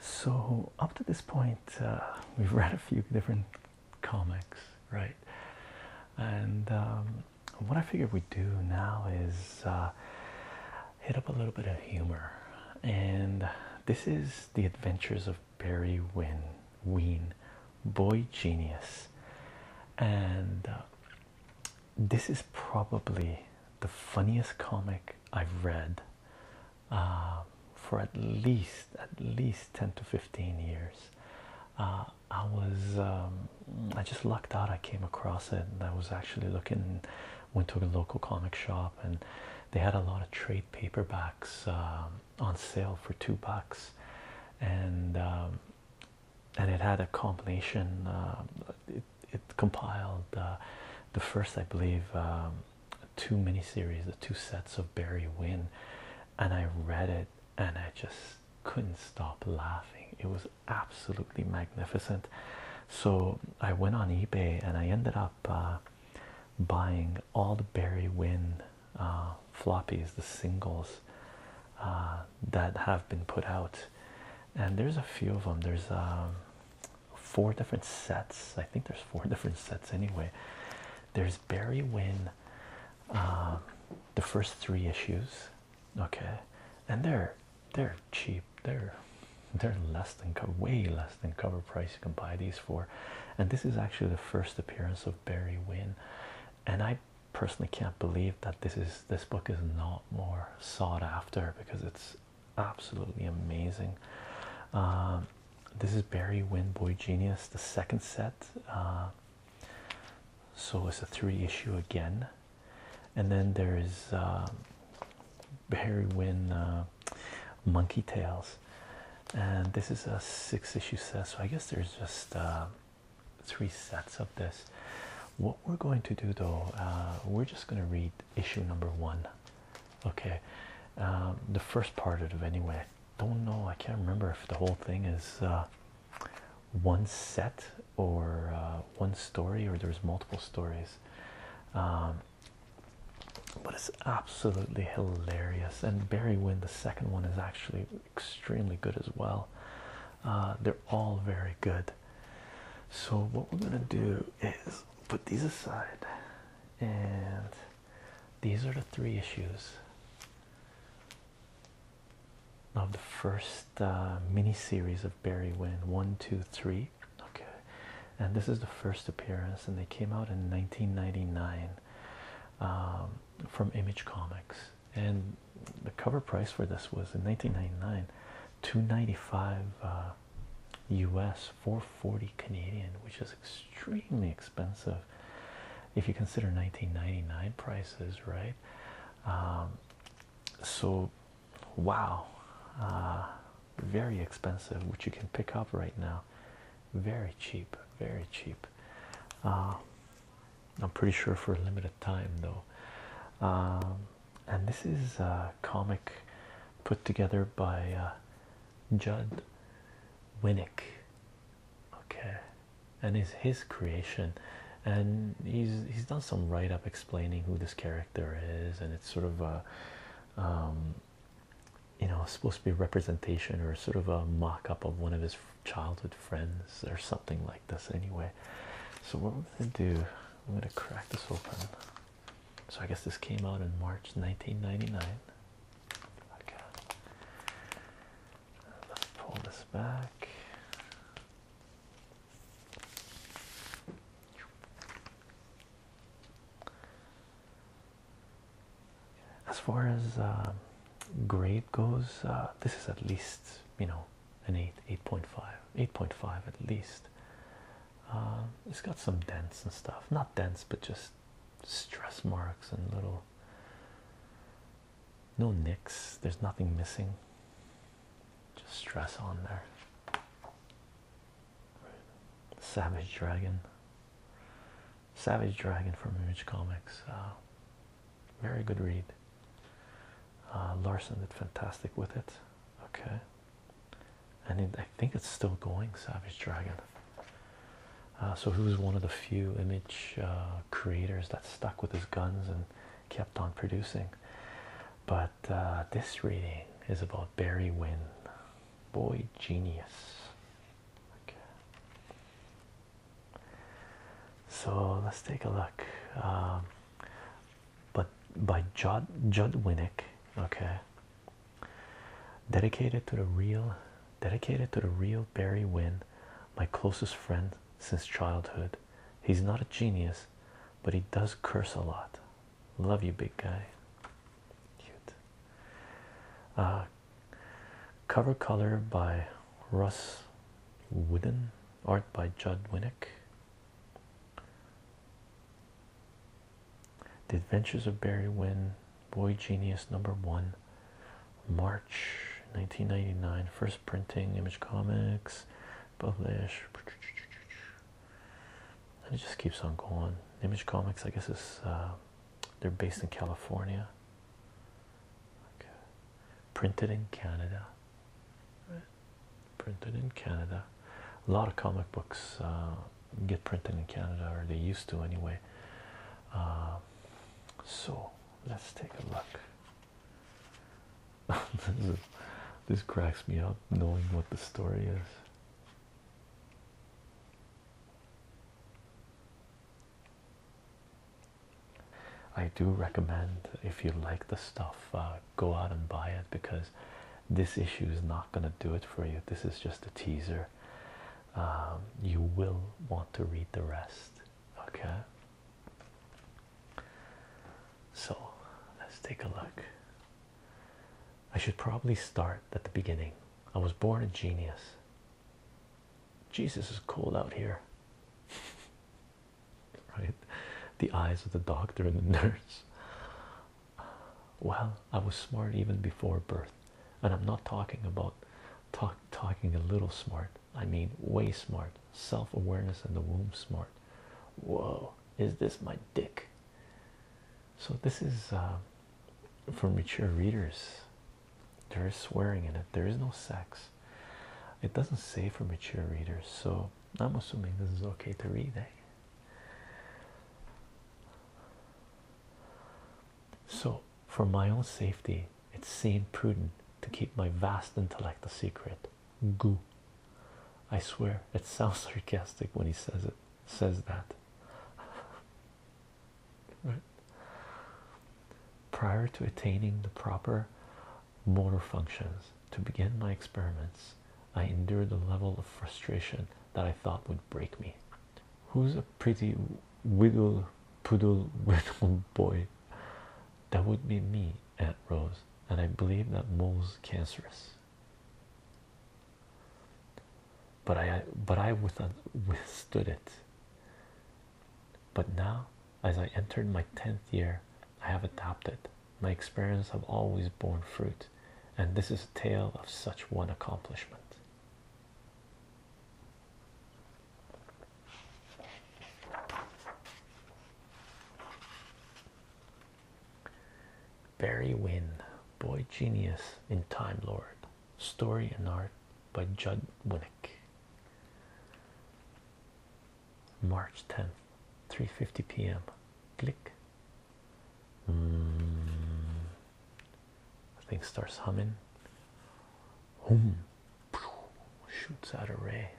So, up to this point, uh, we've read a few different comics, right? And um, what I figured we'd do now is uh, hit up a little bit of humor. And this is The Adventures of Barry Win Ween, Boy Genius. And uh, this is probably the funniest comic I've read uh, for at least at least 10 to 15 years uh, I was um, I just lucked out I came across it I was actually looking went to a local comic shop and they had a lot of trade paperbacks um, on sale for two bucks and um, and it had a combination it compiled uh, the first, I believe, um, two miniseries, the two sets of Barry Wynn, and I read it and I just couldn't stop laughing. It was absolutely magnificent. So I went on eBay and I ended up uh, buying all the Barry Wynn uh, floppies, the singles that have been put out. And there's a few of them. There's um, four different sets. I think there's four different sets anyway. There's Barry Wyn. Um, the first three issues, okay, and they're they're cheap. They're they're less than way less than cover price. You can buy these for, and this is actually the first appearance of Barry Wyn, and I personally can't believe that this is this book is not more sought after because it's absolutely amazing. Um, this is Barry Win Boy Genius, the second set. Uh, so it's a three issue again, and then there is um, Barry Win uh, Monkey Tales, and this is a six issue set. So I guess there's just uh, three sets of this. What we're going to do though, we're just going to read issue number one okay um, the first part of it anyway don't know i can't remember if the whole thing is uh, one set or uh, one story or there's multiple stories um, but it's absolutely hilarious and barry win the second one is actually extremely good as well uh, they're all very good so, what we're going to do is put these aside, and these are the three issues of the first uh, mini series of Barry Win one, two, three. Okay, and this is the first appearance, and they came out in 1999 um, from Image Comics. And the cover price for this was in 1999 295 uh, US 440 Canadian, which is extremely expensive if you consider 1999 prices, right? Um, so, wow, uh, very expensive, which you can pick up right now. Very cheap, very cheap. Uh, I'm pretty sure for a limited time, though. Um, and this is a comic put together by uh, Judd Winnick. Okay, and is his creation, and he's he's done some write up explaining who this character is, and it's sort of a, um, you know, supposed to be a representation or sort of a mock up of one of his childhood friends or something like this. Anyway, so what we're gonna do, I'm gonna crack this open. So I guess this came out in March 1999. Let's pull this back. As far as um, grade goes, uh, this is at least you know an 8, 8.5, 8.5 at least. Uh, it's got some dents and stuff, not dents, but just stress marks and little no nicks, there's nothing missing, just stress on there. Savage Dragon, Savage Dragon from Image Comics, uh, very good read. Uh, Larson did fantastic with it. Okay, and I think it's still going. Savage Dragon. Uh, so he was one of the few image uh, creators that stuck with his guns and kept on producing. But uh, this reading is about Barry Wynn, boy genius. Okay. So let's take a look. Um, but by Judd, Judd Winnick, okay, dedicated to the real, dedicated to the real Barry Wynn, my closest friend since childhood. He's not a genius, but he does curse a lot. Love you, big guy. Cute. Uh, cover color by Russ Wooden, art by Judd Winnick. The Adventures of Barry Wynn, Boy Genius number one, March 1999, first printing, Image Comics, publish. And it just keeps on going. Image Comics, I guess, is uh, they're based in California. Printed in Canada printed in Canada. A lot of comic books uh, get printed in Canada, or they used to anyway. Uh, so let's take a look. this, cracks me up knowing what the story is. I do recommend if you like the stuff, uh, go out and buy it because this issue is not going to do it for you. This is just a teaser. Um, you will want to read the rest. Okay. So let's take a look. I should probably start at the beginning. I was born a genius. Jesus is cold out here. right? The eyes of the doctor and the nurse. Well, I was smart even before birth, and I'm not talking about talk, talking a little smart. I mean, way smart, self awareness in the womb smart. Whoa, is this my dick? So, this is uh, for mature readers. There is swearing in it, there is no sex. It doesn't say for mature readers, so I'm assuming this is okay to read. Eh? So, for my own safety, it's seen prudent to keep my vast intellect a secret. Goo. I swear it sounds sarcastic when he says it says that. Prior to attaining the proper motor functions. To begin my experiments, I endured a level of frustration that I thought would break me. Who's a pretty widdle poodle widdle boy? That would be me, Aunt Rose, and I believe that mole's cancerous. But I, but I withstood it. But now, as I entered my tenth year, I have adapted. My experience have always borne fruit, and this is a tale of such one accomplishment. Barry Wynne, Boy Genius in Time Lord, Story and Art by Judd Winnick. March 10th, 3:50 p.m. Click. Mm. The thing starts humming. Hum. Shoots out a ray.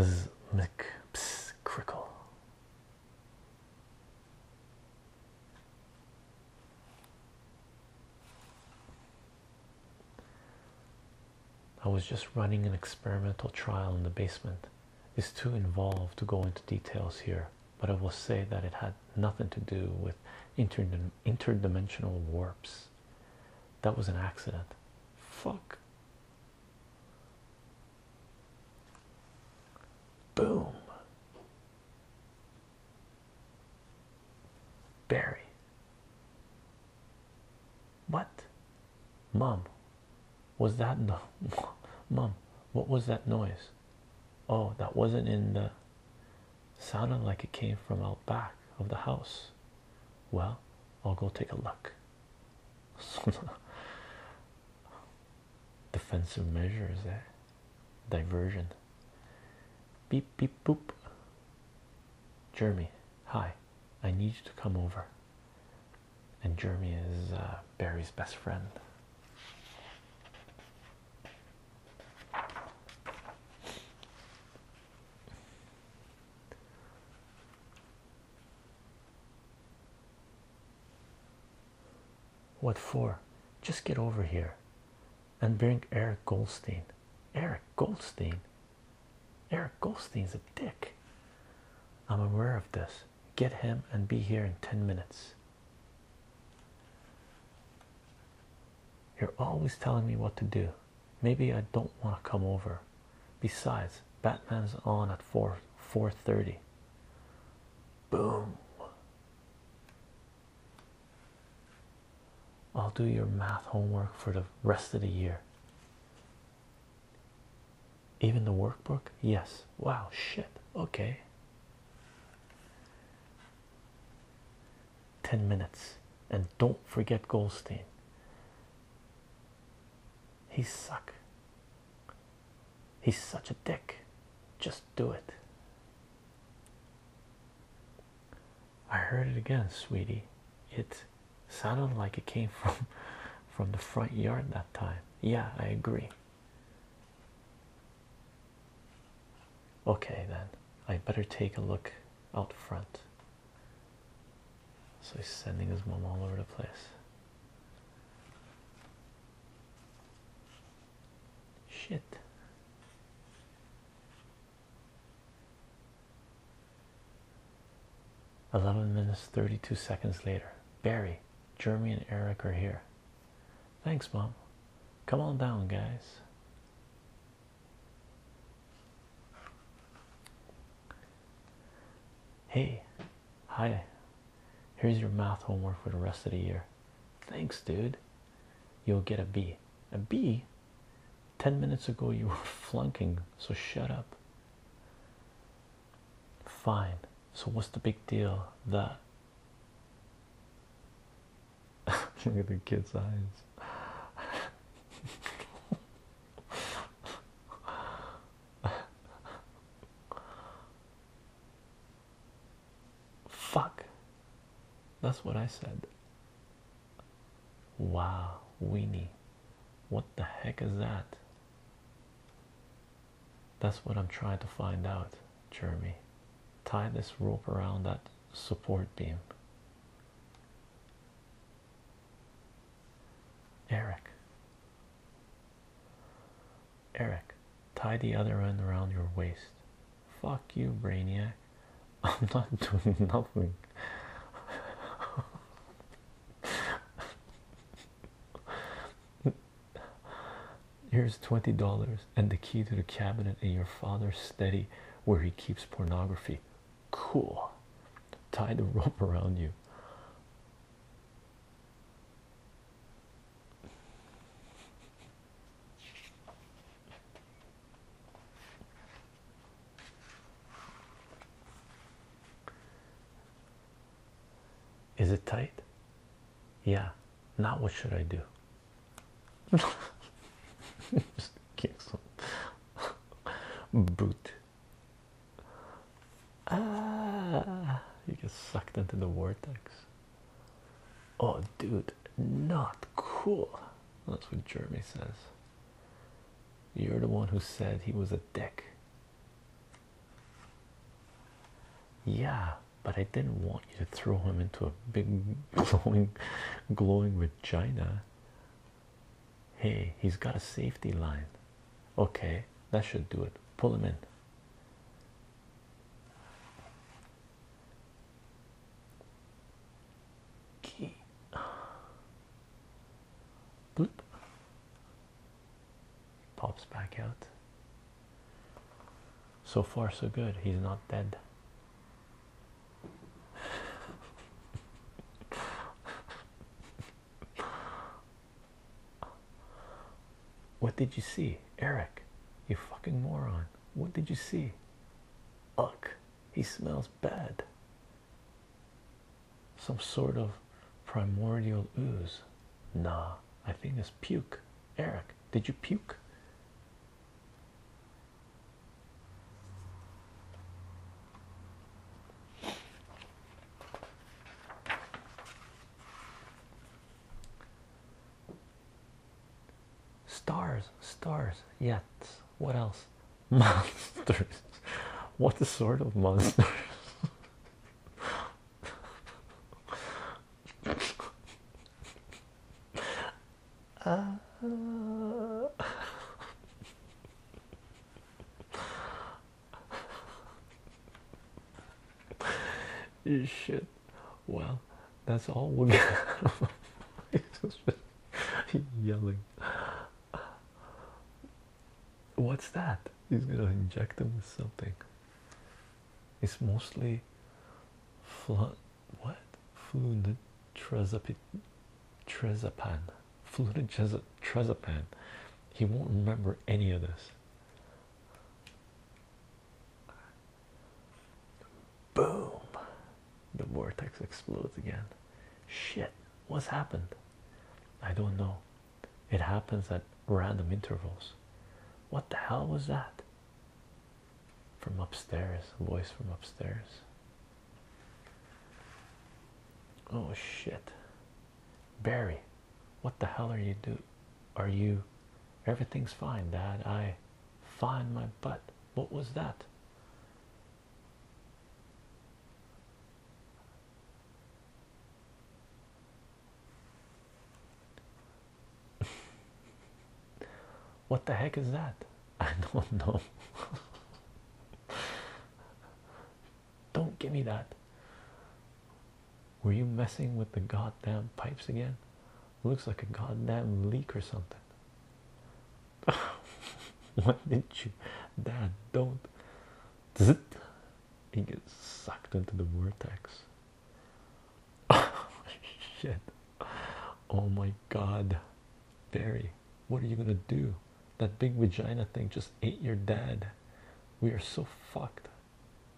Zzz, mick, ps, crickle. I was just running an experimental trial in the basement. It's too involved to go into details here, but I will say that it had nothing to do with interdimensional warps. That was an accident. Fuck. Boom. Barry. What? Mom, was that no? Mom, what was that noise? Oh, that wasn't in the. Sounded like it came from out back of the house. Well, I'll go take a look. Defensive measures Eh? Diversion. Beep beep boop. Jeremy, hi i need you to come over and jeremy is uh, barry's best friend what for? Just get over here and bring Eric Goldstein. Eric Goldstein? Eric Goldstein's a dick. I'm aware of this. Get him and be here in 10 minutes. You're always telling me what to do. Maybe I don't want to come over. Besides, Batman's on at 4 4:30. Boom. I'll do your math homework for the rest of the year. Even the workbook? Yes. Wow, shit. Okay. 10 minutes. And don't forget Goldstein. He suck. He's such a dick. Just do it. I heard it again, sweetie. It sounded like it came from from the front yard that time. Yeah, I agree. Okay, then I better take a look out front. So he's sending his mom all over the place. Shit. 11 minutes 32 seconds later barry jeremy and eric are here thanks mom come on down guys hey hi here's your math homework for the rest of the year thanks dude you'll get a b a b 10 minutes ago you were flunking, so shut up. Fine, so what's the big deal? That look at the kid's eyes. Fuck, that's what I said. Wow, weenie. What the heck is that? That's what I'm trying to find out, Jeremy. Tie this rope around that support beam. Eric. Eric, tie the other end around your waist. Fuck you, Brainiac. I'm not doing nothing. Here's twenty dollars and the key to the cabinet in your father's study where he keeps pornography. Cool. Tie the rope around you. Is it tight? Yeah. Now what should I do? Just kick some boot. Ah, you get sucked into the vortex. Oh, dude, not cool. That's what Jeremy says. You're the one who said he was a dick. Yeah, but I didn't want you to throw him into a big glowing, glowing vagina. Hey, he's got a safety line. Okay, that should do it. Pull him in key Bloop. pops back out so far so good he's not dead What did you see, Eric? You fucking moron. What did you see? Look. He smells bad. Some sort of primordial ooze. Nah, I think it's puke. Eric, did you puke? Stars, stars, yet. What else? Monsters. What sort of monsters? uh, Shit. Well, that's all we get. He's just yelling. What's that? He's gonna inject him with something. It's mostly flu what fluid trezapan fluid trezapan. He won't remember any of this. Boom. The vortex explodes again. Shit, what's happened? I don't know. It happens at random intervals. What the hell was that? From upstairs, a voice from upstairs. Oh shit. Barry, what the hell are you do? Are you everything's fine, Dad? I Find my butt. What was that? what the heck is that? I don't know. don't give me that. Were you messing with the goddamn pipes again? Looks like a goddamn leak or something. What did you, Dad? Don't. it? He gets sucked into the vortex. Oh, shit! Oh my God, Barry, what are you gonna do? That big vagina thing just ate your dad. We are so fucked.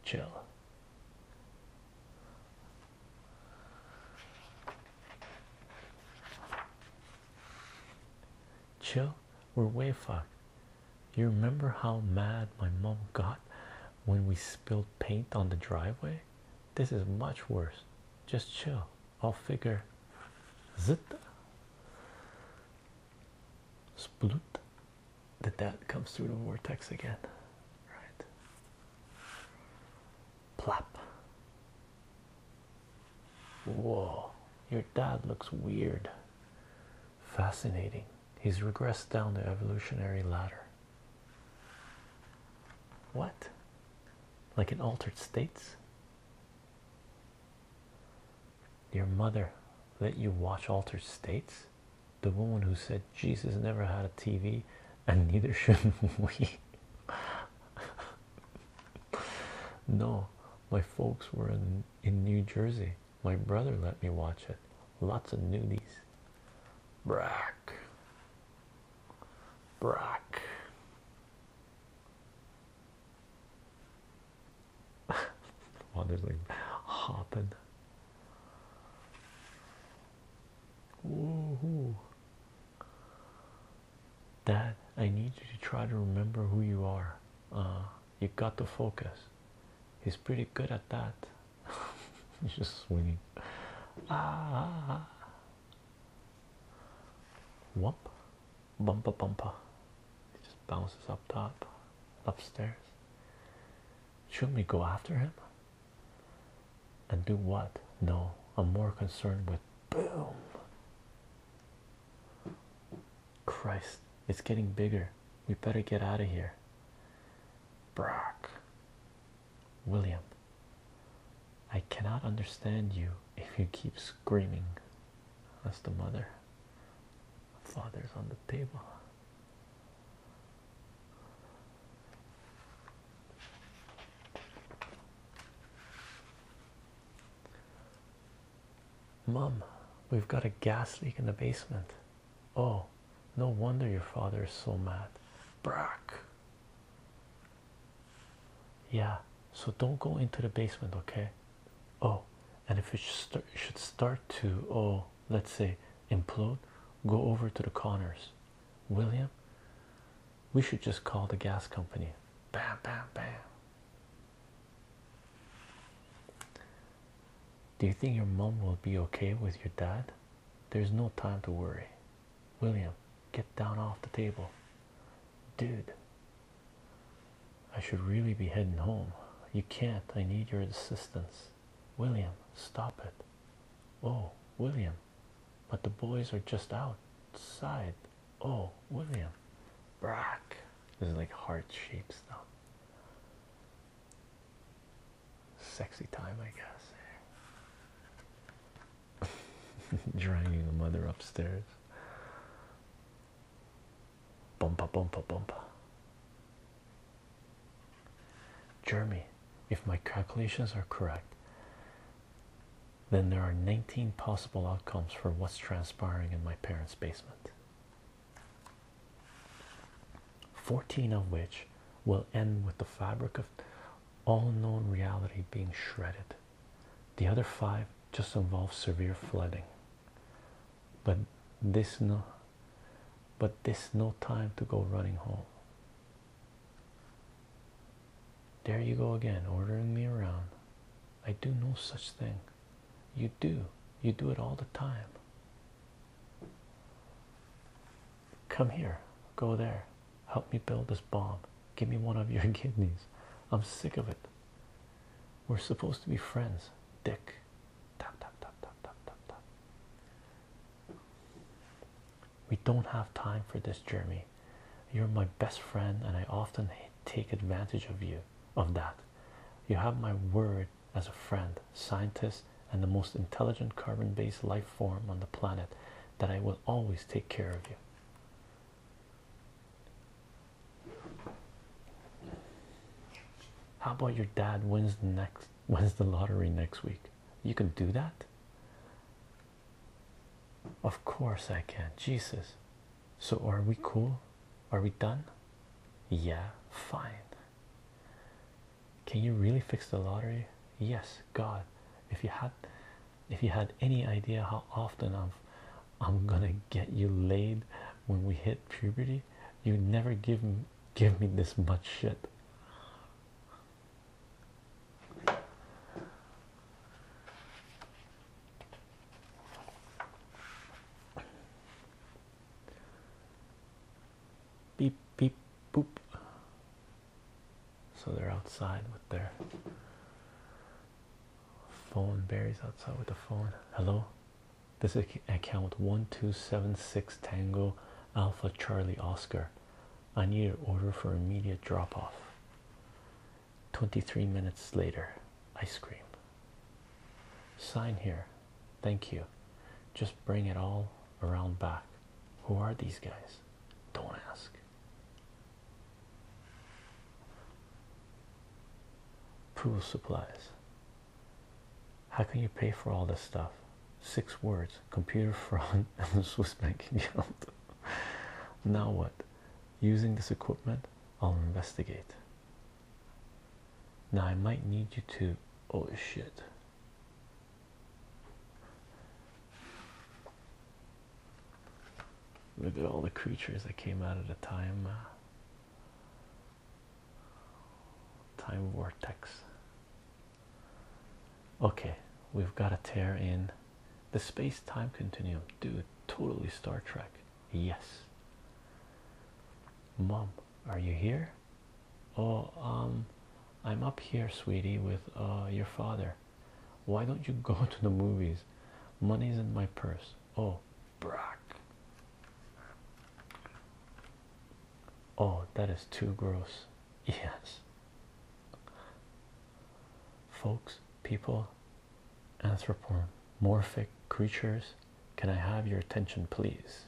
Chill. Chill, we're way fucked. You remember how mad my mom got when we spilled paint on the driveway? This is much worse. Just chill. I'll figure. Zit. Splut. That that comes through the vortex again. Right. Plop. Whoa, your dad looks weird. Fascinating. He's regressed down the evolutionary ladder. What? Like in altered states? Your mother let you watch altered states? The woman who said Jesus never had a TV and neither should we. no, my folks were in, in New Jersey. My brother let me watch it. Lots of nudies. Brack. Brack. Well, hopping. Dad, I need you to try to remember who you are. Uh, you got to focus. He's pretty good at that. He's just swinging. Ah. Wump. Bumpa bumpa. He just bounces up top, upstairs. Shouldn't we go after him? and do what? No, I'm more concerned with boom. Christ, it's getting bigger. We better get out of here. Brock, William, I cannot understand you if you keep screaming. That's the mother. Father's on the table. Mom, we've got a gas leak in the basement. Oh, no wonder your father is so mad. Brack. Yeah, so don't go into the basement, okay? Oh, and if it should start to, oh, let's say implode, go over to the Connors. William, we should just call the gas company. Bam, bam, bam. Do you think your mom will be okay with your dad? There's no time to worry. William, get down off the table. Dude, I should really be heading home. You can't. I need your assistance. William, stop it. Oh, William, but the boys are just outside. Oh, William. Brack. This is like heart shaped stuff. Sexy time, I guess. Dragging the mother upstairs. Bumpa, bumpa, bumpa. Jeremy, if my calculations are correct, then there are 19 possible outcomes for what's transpiring in my parents' basement. 14 of which will end with the fabric of all known reality being shredded. The other five just involve severe flooding. But this no but this no time to go running home. There you go again, ordering me around. I do no such thing. You do. You do it all the time. Come here. Go there. Help me build this bomb. Give me one of your kidneys. I'm sick of it. We're supposed to be friends, Dick. We don't have time for this, Jeremy. You're my best friend, and I often take advantage of you, of that. You have my word as a friend, scientist, and the most intelligent carbon based life form on the planet that I will always take care of you. How about your dad wins the next wins the lottery next week? You can do that? Of course I can. Jesus. So are we cool? Are we done? Yeah, fine. Can you really fix the lottery? Yes, God. If you had if you had any idea how often I'm I'm gonna get you laid when we hit puberty, you would never give me give me this much shit. Beep, beep, boop. So they're outside with their phone. Barry's outside with the phone. Hello? This account 1276 Tango Alpha Charlie Oscar. I need an order for immediate drop off. 23 minutes later, ice cream. Sign here. Thank you. Just bring it all around back. Who are these guys? Don't ask. Pool supplies. How can you pay for all this stuff? six words computer fraud and the Swiss banking account. now, what using this equipment, I'll investigate. Now, I might need you to. Oh, shit. Look at all the creatures that came out of the time. Uh, time vortex. Okay, we've got to tear in the space-time continuum, dude. Totally Star Trek. Yes. Mom, are you here? Oh, um, I'm up here, sweetie, with uh, your father. Why don't you go to the movies? Money's in my purse. Oh, Brock. Oh, that is too gross. Yes. Folks, people, anthropomorphic creatures, can I have your attention, please?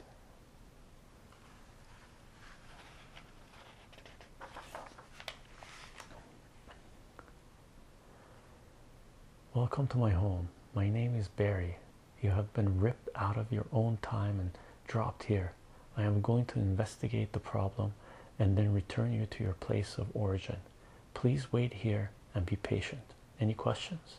Welcome to my home. My name is Barry. You have been ripped out of your own time and dropped here. I am going to investigate the problem and then return you to your place of origin. Please wait here and be patient. Any questions?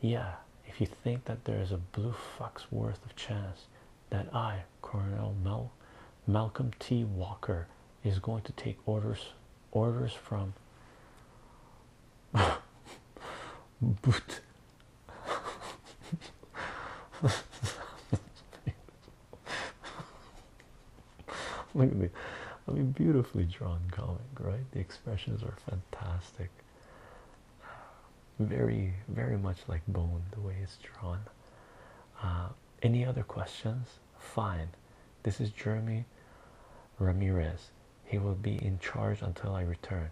Yeah, if you think that there is a blue fox worth of chance that I, Colonel Mel Malcolm T. Walker, is going to take orders orders from Boot Look at me. I mean, beautifully drawn comic, right? The expressions are fantastic. Very, very much like bone, the way it's drawn. Uh, any other questions? Fine. This is Jeremy Ramirez. He will be in charge until I return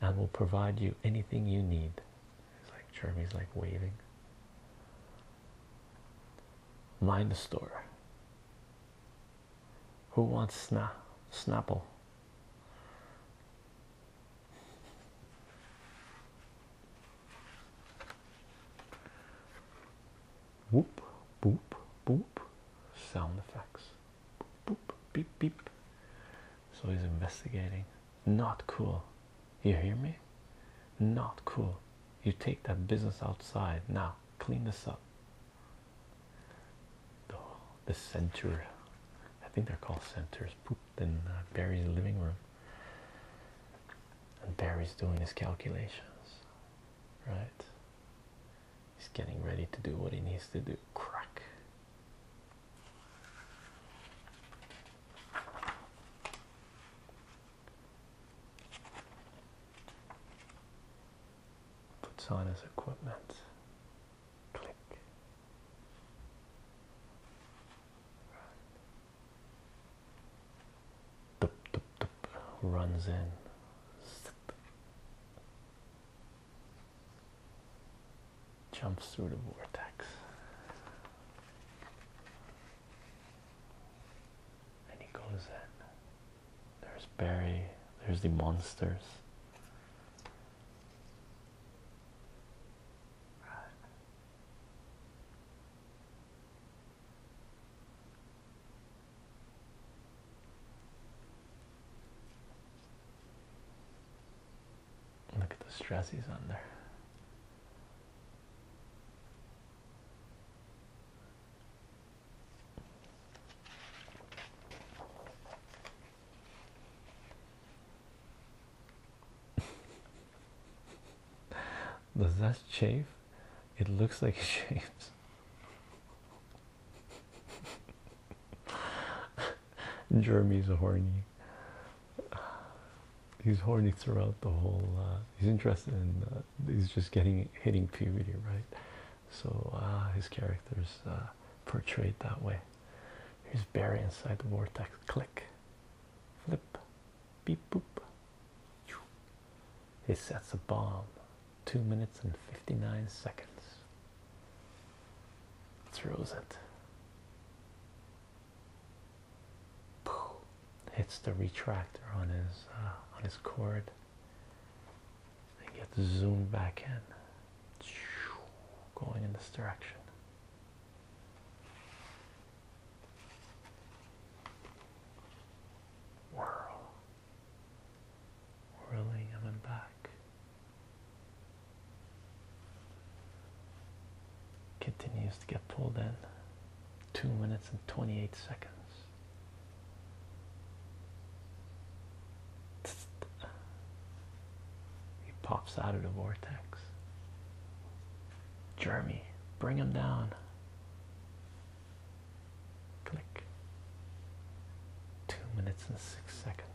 and will provide you anything you need. It's like Jeremy's like waving. Mind the store. Who wants sna Snapple? Whoop, boop, boop. Sound effects. Boop, beep, beep. So he's investigating. Not cool. You hear me? Not cool. You take that business outside now. Clean this up. The, center. I think they're called centers. Pooped in uh, Barry's living room. And Barry's doing his calculations. Right? He's getting ready to do what he needs to do. Crack. Puts on his equipment. Click. Runs in jumps through the vortex and he goes in. There's Barry, there's the monsters. Right. Look at the stress he's under. Does that chafe? It looks like it chafes. Jeremy's horny. He's horny throughout the whole. Uh, he's interested in. Uh, he's just getting hitting puberty, right? So uh, his character's uh, portrayed that way. He's buried inside the vortex. Click, flip, beep boop. He sets a bomb. Two minutes and fifty nine seconds. Throws it. Hits the retractor on his uh, on his cord and gets zoomed back in, going in this direction. Whirl whirling up back. Continues to get pulled in. 2 minutes and 28 seconds. He pops out of the vortex. Jeremy, bring him down. Click. Two minutes and six seconds.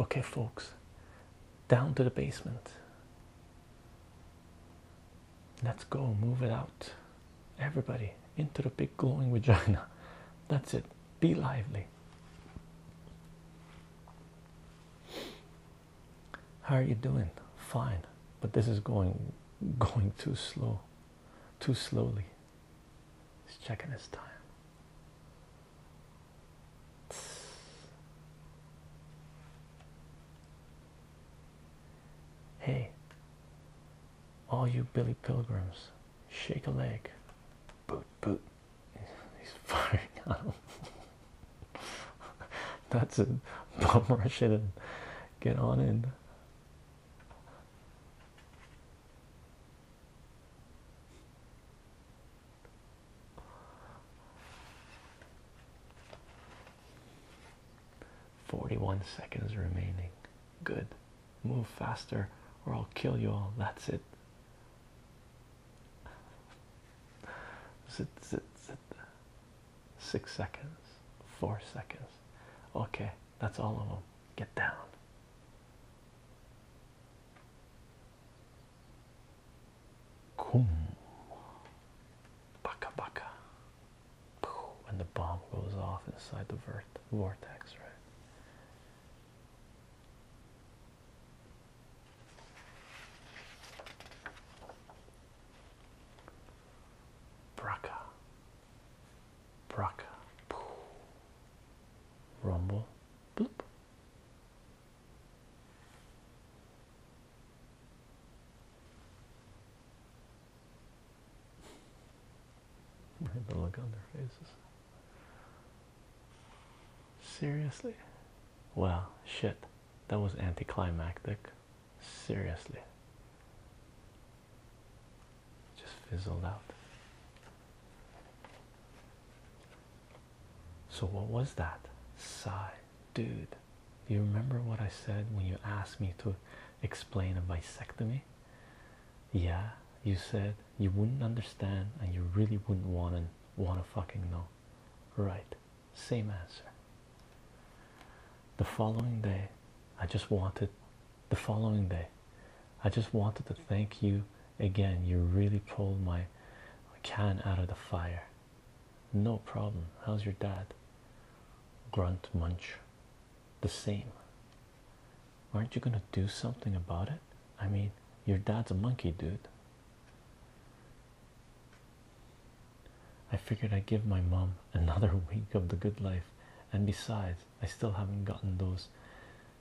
Okay, folks, down to the basement. Let's go move it out. Everybody into the big glowing vagina. That's it. Be lively. How are you doing? Fine, but this is going going too slow, too slowly. He's checking his time. Hey, all you Billy Pilgrims, shake a leg. Boot, boot. He's firing out. That's it. Bob rush it and get on in. Forty-one seconds remaining. Good. Move faster, or I'll kill you all. That's it six seconds, four seconds. Okay, that's all of them. Get down. Kum. Baka baka. And the bomb goes off inside the vert vortex, right? Braca, Braca, Pooh. Rumble, Bloop. the look on their faces. Seriously? Well, shit. That was anticlimactic. Seriously. Just fizzled out. So, what was that? Sigh. Dude, do you remember what I said when you asked me to explain a bisectomy? Yeah, you said you wouldn't understand and you really wouldn't want to want to fucking know right same answer the following day i just wanted the following day i just wanted to thank you again you really pulled my can out of the fire no problem how's your dad grunt munch the same aren't you going to do something about it i mean your dad's a monkey dude I figured I'd give my mom another week of the good life, and besides, I still haven't gotten those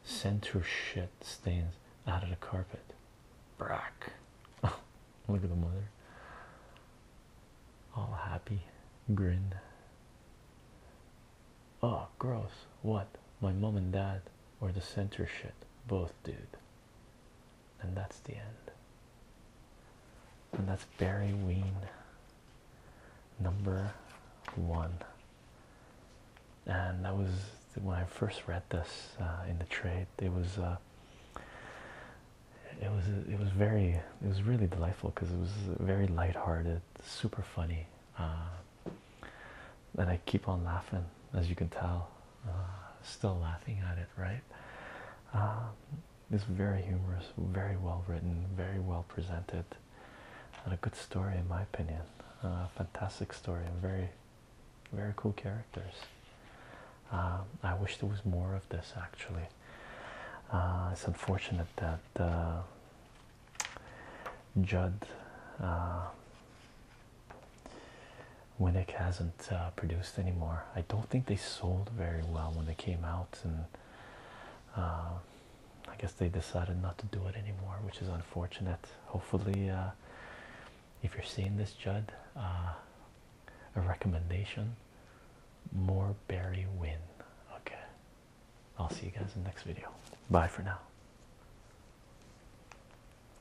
center shit stains out of the carpet. Brack. look at the mother. All happy. Grin. Oh, gross. What? My mom and dad or the censorship, Both, dude. And that's the end. And that's Barry Ween, number one. And that was when I first read this uh, in the trade. It was, uh, it was, it was very, it was really delightful because it was very lighthearted, super funny. Uh, and I keep on laughing, as you can tell. Uh, still laughing at it, right? Um, it's very humorous, very well written, very well presented, and a good story, in my opinion. fantastic story, and very, very cool characters. Um, I wish there was more of this actually. Uh, it's unfortunate that uh, Judd uh, Winnick hasn't uh, produced anymore. I don't think they sold very well when they came out, and uh, I guess they decided not to do it anymore, which is unfortunate. Hopefully, uh, if you're seeing this, Judd, a recommendation more berry win. Okay, I'll see you guys in the next video. Bye for now.